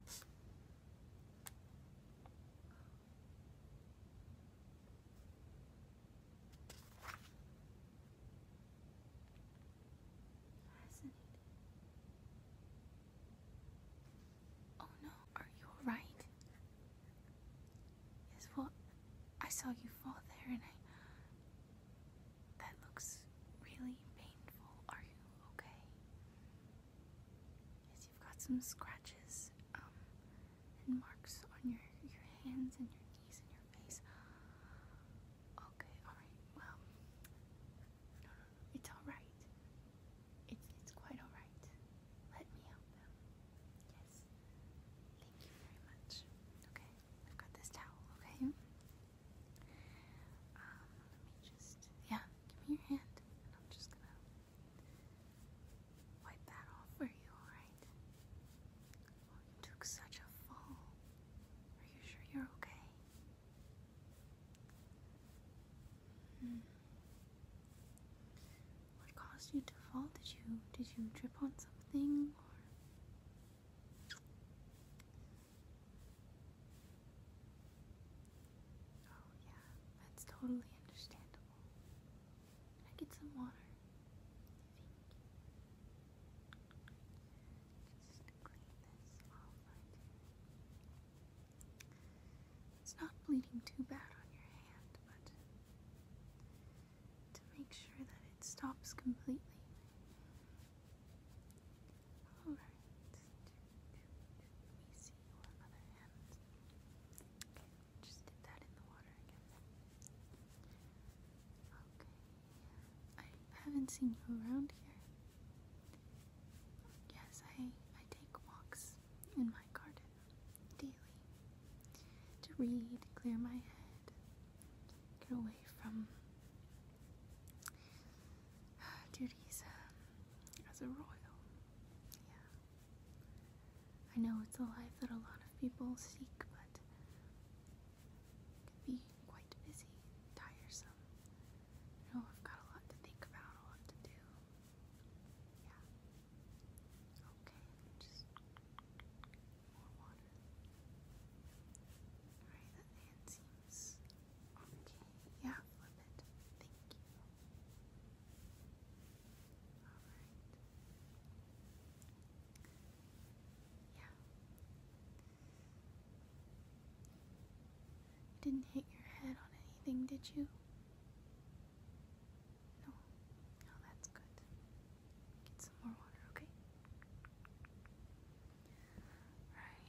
Fascinating. Oh no, are you alright? Yes, well, I saw you fall there and That looks really painful. Are you okay? is you've got some scratches um, and marks on your, your hands and your knees and your face. Okay, alright, well, no, no, no, it's alright. It's, it's quite alright. Let me help them. Yes. Thank you very much. Okay, I've got this towel, okay? Um, let me just, yeah, Give me your hand, and I'm just gonna wipe that off for you, alright? Oh, you took such a fall. Are you sure you're okay? Hmm. What caused you to fall? Did you did you trip on something Oh, yeah, that's totally understandable. Can I get some water? It's not bleeding too bad on your hand, but to make sure that it stops completely. Alright, just dip that in the water again. Okay, I haven't seen you around here. Yes, I, I take walks in my garden daily to read, clear my head, get away from duties um, as a royal. Yeah. I know it's a life that a lot of people seek, but it can be quite busy, tiresome. You know, I've got a lot to think about, a lot to do. Yeah. Okay, just more water. Alright, Okay. Yeah, Thank you. All right. Yeah. didn't hit your head on anything, did you? No. No, that's good. Get some more water, okay? Alright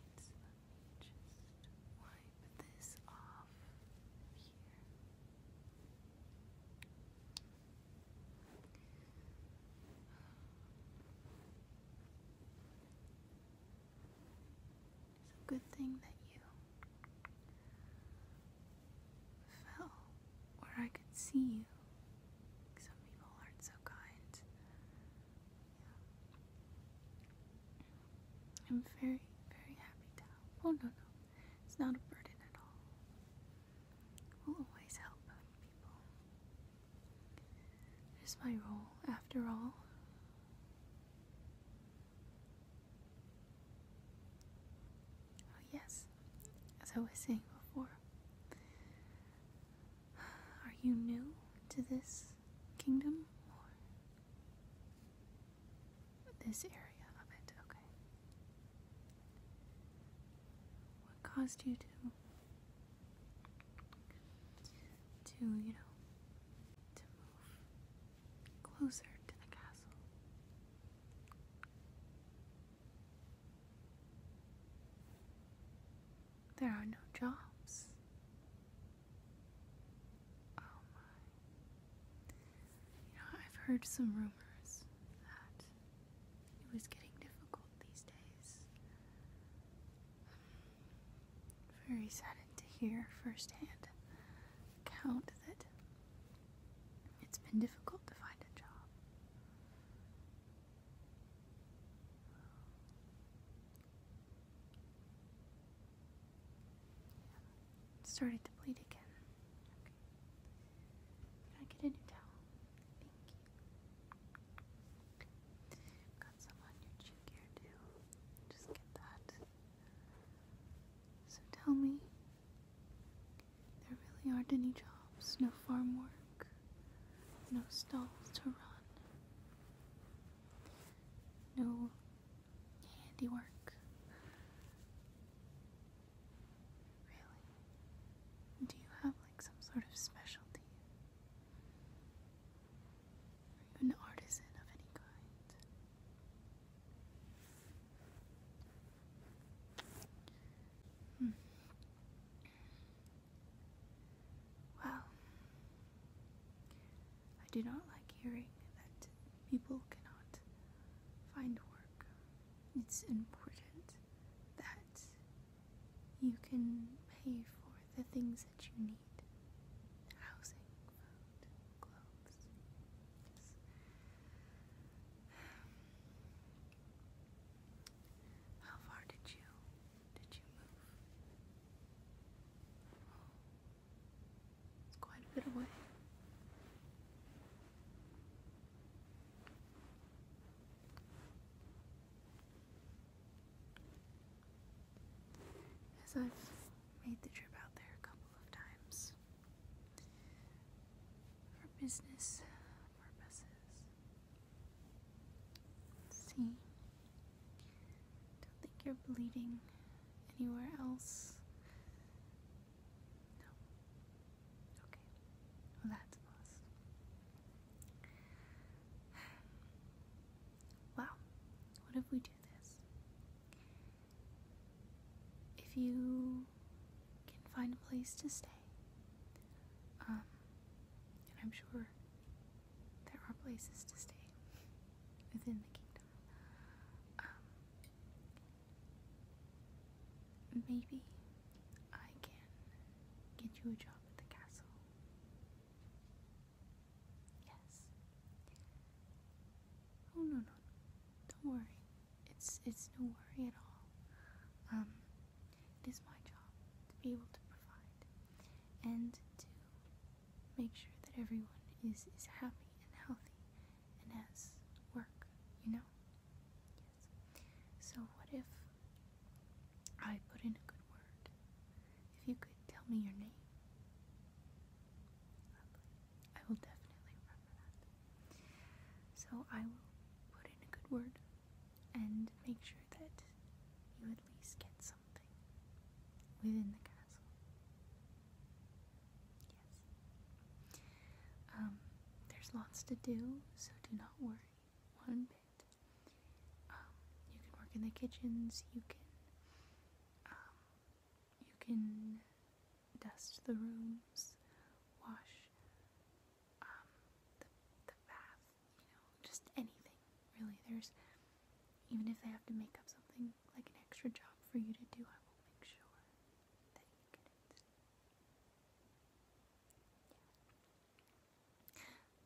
just wipe this off here. It's a good thing that you fell where I could see you. Some people aren't so kind. I'm very, very happy now. Oh, no, no. It's not a burden at all. We'll always help people. It is my role, after all. Oh, yes. As I was saying before, are you new to this kingdom or this area of it? Okay. What caused you to to, you know, to move closer to the castle? There are no jobs Oh my. You I've heard some rumors that it was getting difficult these days. Very saddened to hear firsthand account that it's been difficult to find a job started to bleed again. Can I get a new towel? Thank you. Got some on your cheek here too. Just get that. So tell me, there really aren't any jobs, no farm work, no stalls to run no handiwork. Really? Do you have like some sort of specialty? Are you an artisan of any kind? Hmm. Well, I do not like hearing that people cannot find work. It's important that you can pay for the things that you need housing, food, clothes. How far did you did you move? It's quite a bit away. As I've made the trip out there a couple of times for business purposes, it don't think you're bleeding anywhere else. No. Okay. Well, that's a Wow. What if we do this? If you can find a place to stay, um, and I'm sure there are places to stay within the kingdom. Um, maybe I can get you a job at the castle. Yes. Oh no no, don't worry. It's it's no worry at all. Um, it is my job to be able to provide and to make sure that everyone is, is happy and healthy and has work, you know? Yes. So, what if I put in a good word? If you could tell me your name. I will definitely remember that. So, I will put in a good word and make sure that you at least get something within the castle. Yes. Um, there's lots to do, so do not worry one bit. Um, you can work in the kitchens, you can, um, you can dust the rooms, wash, the bath, you just anything, really. There's, even if they have to make up something like an extra job for you to do, I will make sure that you get it.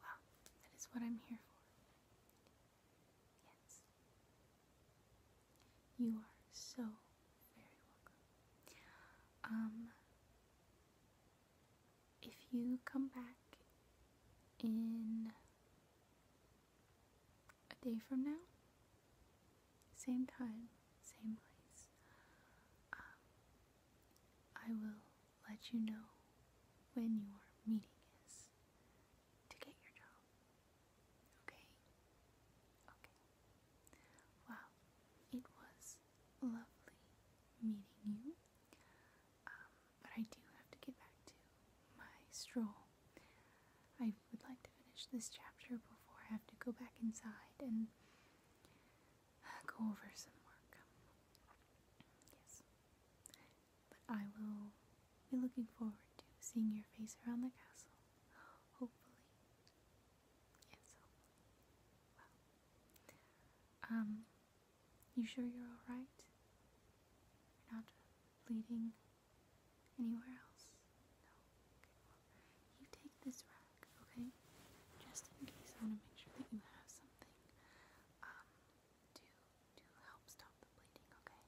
Well, that is what I'm here for. Yes. You are so very welcome. Um, if you come back in a day from now, same time, same place, um, I will let you know when your meeting is to get your job. Okay? Okay. Wow, it was lovely meeting you. Um, but I do have to get back to my stroll. I would like to finish this chapter before I have to go back inside and uh, go over some work. Yes. But I will be looking forward to seeing your face around the castle. Hopefully. Yes, hopefully. Well. Um you sure you're alright? You're not bleeding anywhere else? No? you take this rack, okay? Just in case I want to make sure that you have something um, to, to help stop the bleeding, okay?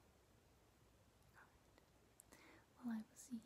Well, I will see